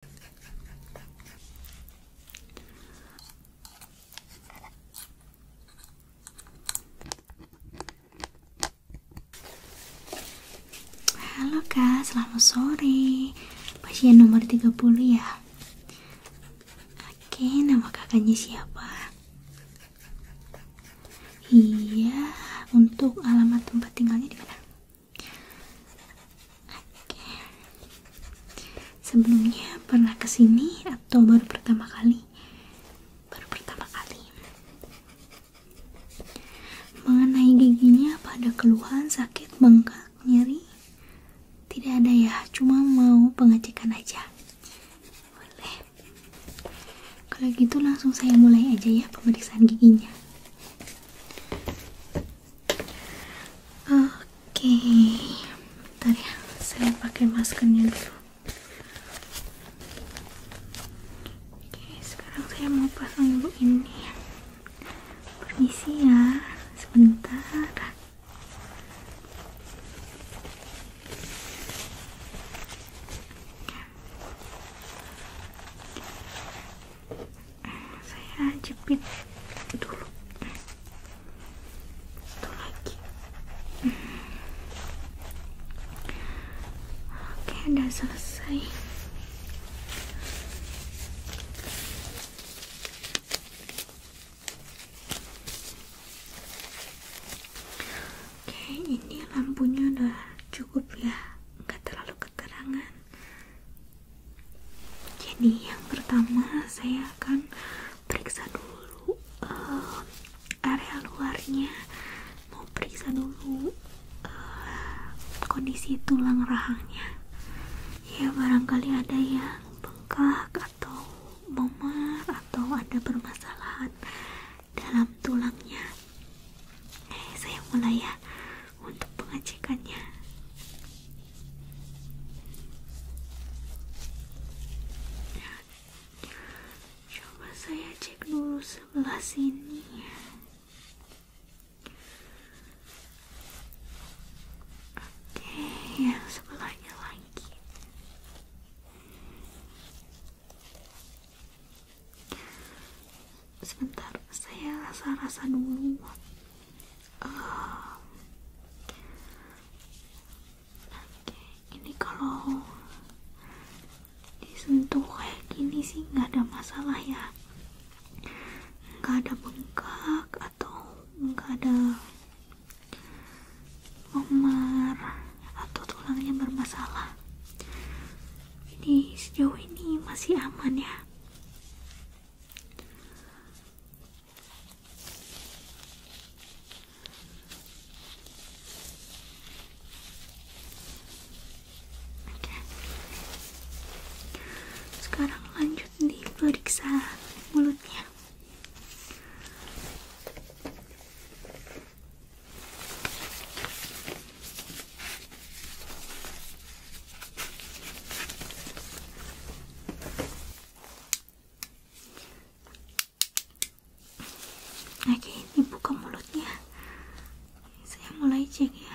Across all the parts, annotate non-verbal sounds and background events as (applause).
Halo kak, selamat sore Pasien nomor 30 ya Oke, nama kakaknya siapa? Iya, untuk alamat tempat tinggalnya di mana? Sebelumnya pernah kesini atau baru pertama kali? Baru pertama kali. Mengenai giginya, apa ada keluhan sakit, bengkak, nyeri? Tidak ada ya, cuma mau pengecekan aja. Boleh. Kalau gitu langsung saya mulai aja ya pemeriksaan giginya. Oke, bentar ya, saya pakai maskernya dulu. Oke, sekarang saya mau pasang dulu ini. Permisi ya, sebentar saya jepit dulu satu lagi oke udah selesai oke ini lampunya udah cukup ya nggak terlalu keterangan jadi yang pertama saya akan periksa dulu uh, area luarnya, mau periksa dulu uh, kondisi tulang rahangnya. Ya barangkali ada yang bengkak atau memar atau ada permasalahan dalam tulangnya. Eh, saya mulai ya untuk pengecekannya. coba saya cek ya. Oke, lagi. Sebentar, saya rasa-rasa dulu uh, ini kalau disentuh kayak gini sih nggak ada masalah ya nggak ada bengkak atau nggak ada memar atau tulangnya bermasalah ini sejauh ini masih aman ya sekarang lanjut diperiksa mulutnya. Oke, ini buka mulutnya. Saya mulai cek ya.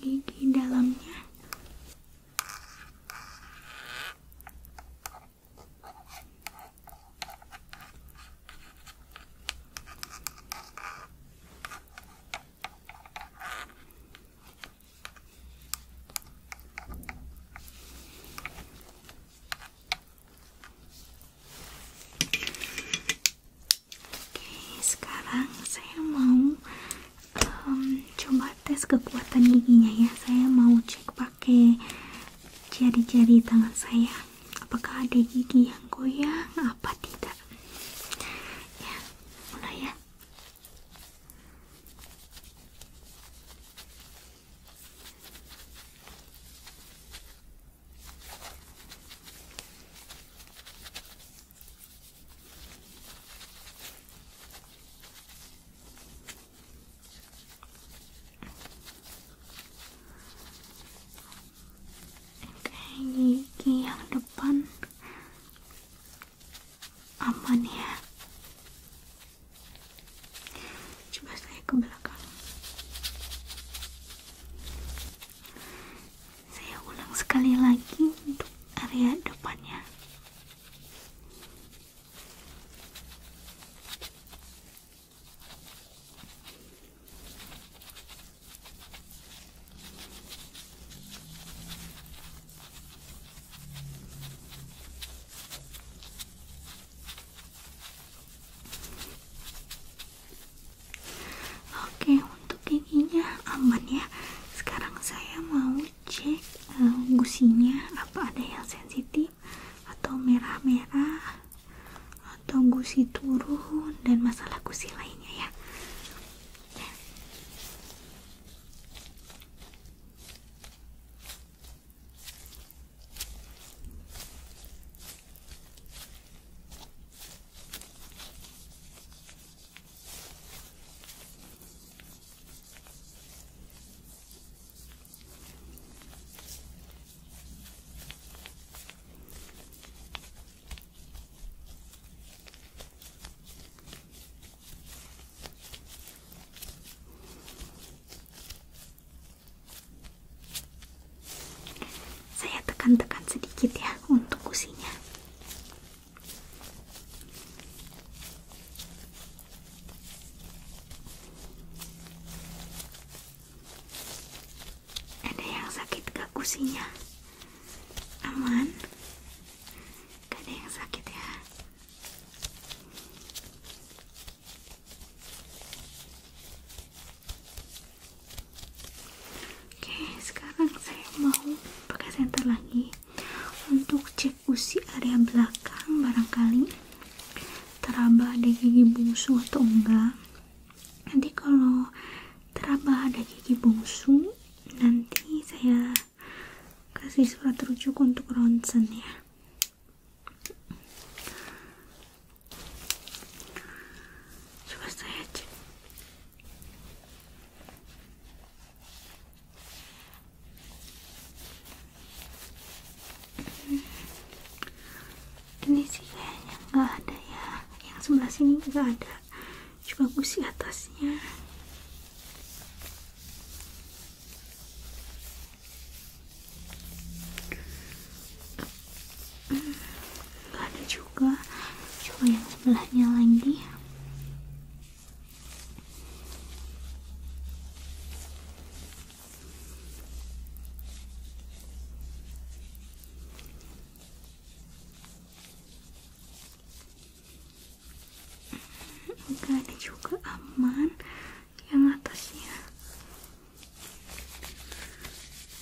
gigi dalamnya Oke, sekarang saya mau um, coba tes kekuatan giginya ya saya mau cek pakai jari-jari tangan saya apakah ada gigi yang goyang apa tidak ya mulai ya Oke, gigi yang depan aman ya. Coba saya ke belakang saya ulang sekali lagi untuk area depannya Oke, untuk giginya aman ya. Sekarang saya mau cek eh, gusinya apa ada yang sensitif atau merah-merah atau gusi turun dan masalah gusi lainnya ya saya tekan-tekan sedikit ya untuk kusinya. Ada yang sakit kekusinya Aman? Gak ada yang sakit ya? Oke, sekarang saya mau pakai senter lagi untuk cek usi area belakang barangkali teraba ada gigi bungsu atau enggak nanti kalau teraba ada gigi bungsu nanti saya kasih surat rujuk untuk ronsen ya coba saya cek hmm. ini sih kayaknya nggak ada ya yang sebelah sini juga ada coba busi atasnya nggak ada juga coba yang sebelahnya lagi enggak juga aman yang atasnya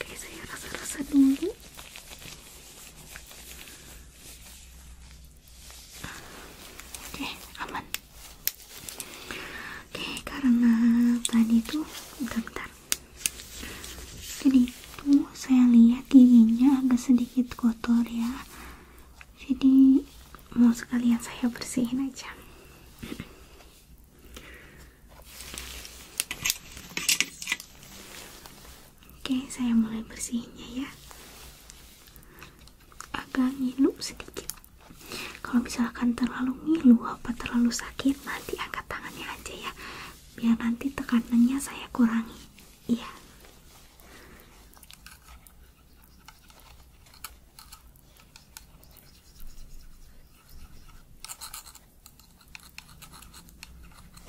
oke saya rasa-rasa dulu Oke, aman. Oke, karena tadi tuh bentar, bentar. Jadi itu saya lihat giginya agak sedikit kotor ya. Jadi mau sekalian saya bersihin aja. Oke, saya mulai bersihinnya ya. Agak ngilu sedikit. Kalau misalkan terlalu ngilu apa terlalu sakit, nanti angkat tangannya aja ya. Biar nanti tekanannya saya kurangi. Iya.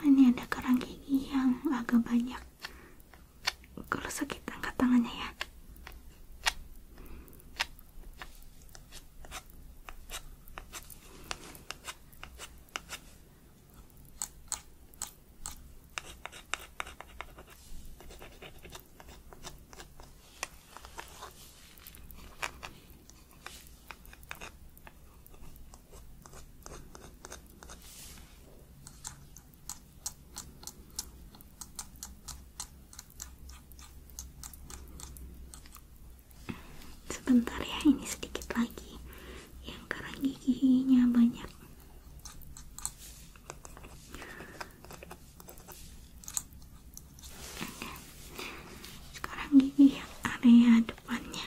Oh, ini ada kerang gigi yang agak banyak kalau sakit angkat tangannya ya sebentar ya ini sedikit lagi yang karena giginya banyak sekarang gigi area ya, depannya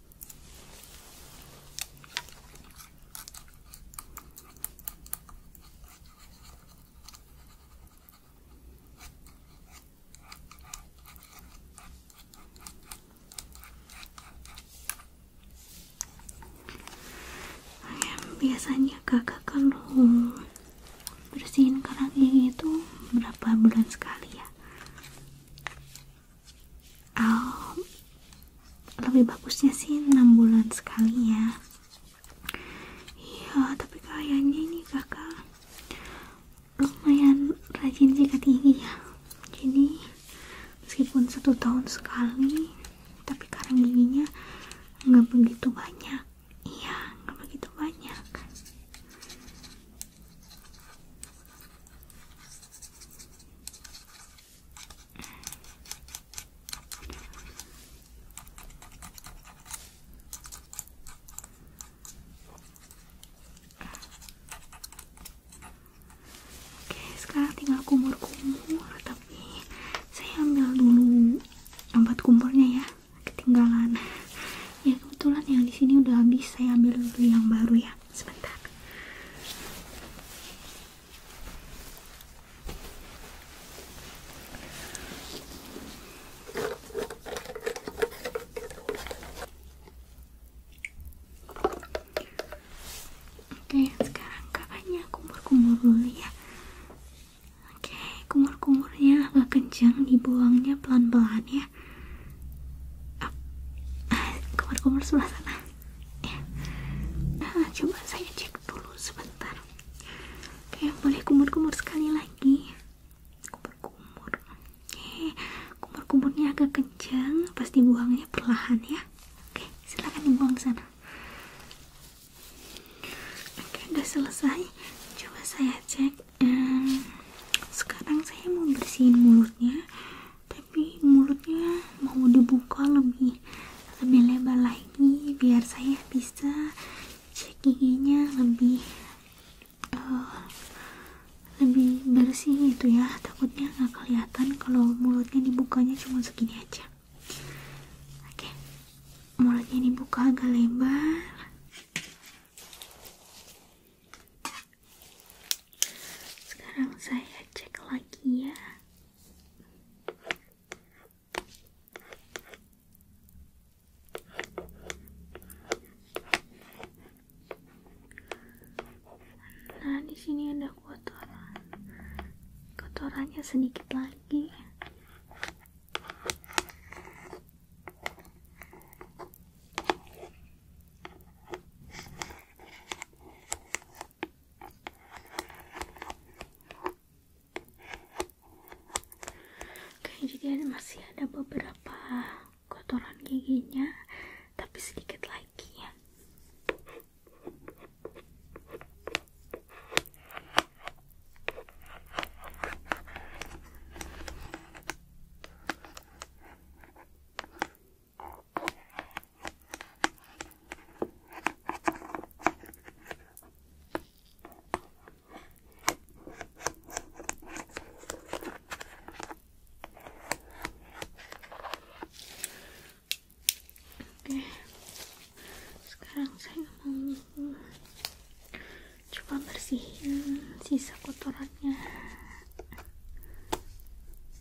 biasanya kakak kalau bersihin kerang yang itu berapa bulan sekali ya oh, lebih bagusnya sih enam bulan sekali ya iya tapi kayaknya ini kakak lumayan rajin jaga tinggi ya jadi meskipun satu tahun sekali tapi karang giginya nggak begitu banyak iya nggak begitu banyak Oke, sekarang tinggal kumur-kumur, tapi saya ambil dulu obat kumurnya ya, ketinggalan. Ya kebetulan yang di sini udah habis, saya ambil yang baru ya sebentar Oke, sekarang kakaknya kumur-kumur dulu ya. Oke, kumur-kumurnya agak kencang, dibuangnya pelan-pelan ya ya kamar-kamar sebelah sana ya. nah coba saya cek dulu sebentar oke boleh kumur-kumur sekali lagi kumur-kumur oke kumur-kumurnya agak kencang pasti buangnya perlahan ya oke silahkan dibuang sana oke udah selesai coba saya cek sekarang saya mau bersihin mulutnya tapi mulutnya mau dibuka lebih lebih lebar lagi biar saya bisa cek giginya lebih uh, lebih bersih gitu ya takutnya nggak kelihatan kalau mulutnya dibukanya cuma segini aja oke okay. mulutnya dibuka agak lebar sekarang saya cek lagi ya. Nah, di sini ada kotoran. Kotorannya sedikit lagi. Oke, jadi masih ada beberapa kotoran giginya, tapi sedikit lagi ya. Oke, sekarang saya mau coba bersihin sisa kotorannya.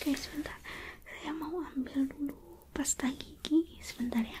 Oke, sebentar. Saya mau ambil dulu pasta gigi sebentar ya.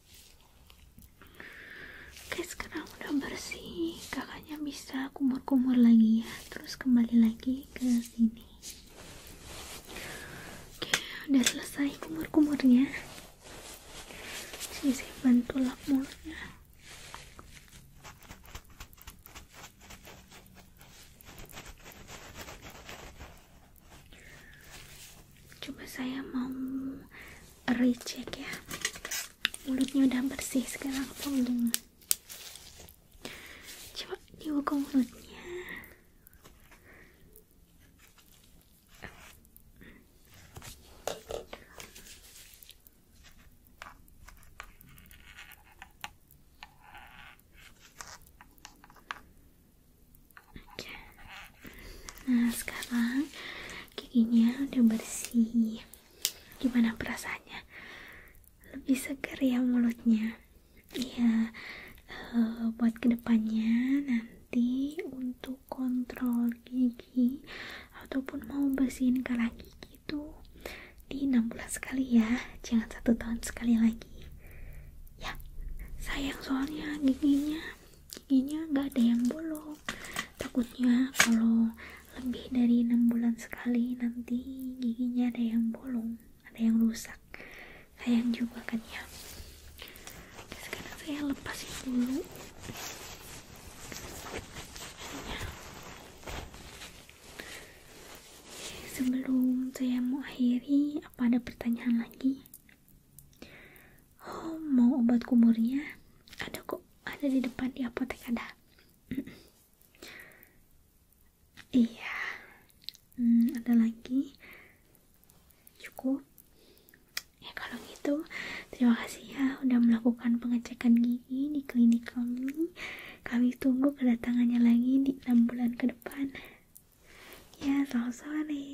Oke sekarang udah bersih kakaknya bisa kumur-kumur lagi ya terus kembali lagi ke sini oke udah selesai kumur-kumurnya sini bantu lap mulutnya coba saya mau recheck ya mulutnya udah bersih sekarang tolong coba diukur mulutnya Nah sekarang giginya udah bersih. Gimana perasaannya? Lebih segar ya mulutnya. Iya. Uh, buat kedepannya nanti untuk kontrol gigi ataupun mau bersihin kalah gigi itu di enam bulan sekali ya. Jangan satu tahun sekali lagi. Ya, sayang soalnya giginya giginya nggak ada yang bolong takutnya kalau lebih dari enam bulan sekali nanti giginya ada yang bolong ada yang rusak sayang juga kan ya sekarang saya lepasin dulu sebelum saya mau akhiri apa ada pertanyaan lagi oh mau obat kumurnya ada kok ada di depan di apotek ada (clears throat) iya hmm, ada lagi cukup ya kalau gitu terima kasih ya udah melakukan pengecekan gigi di klinik kami kami tunggu kedatangannya lagi di 6 bulan ke depan ya selamat sore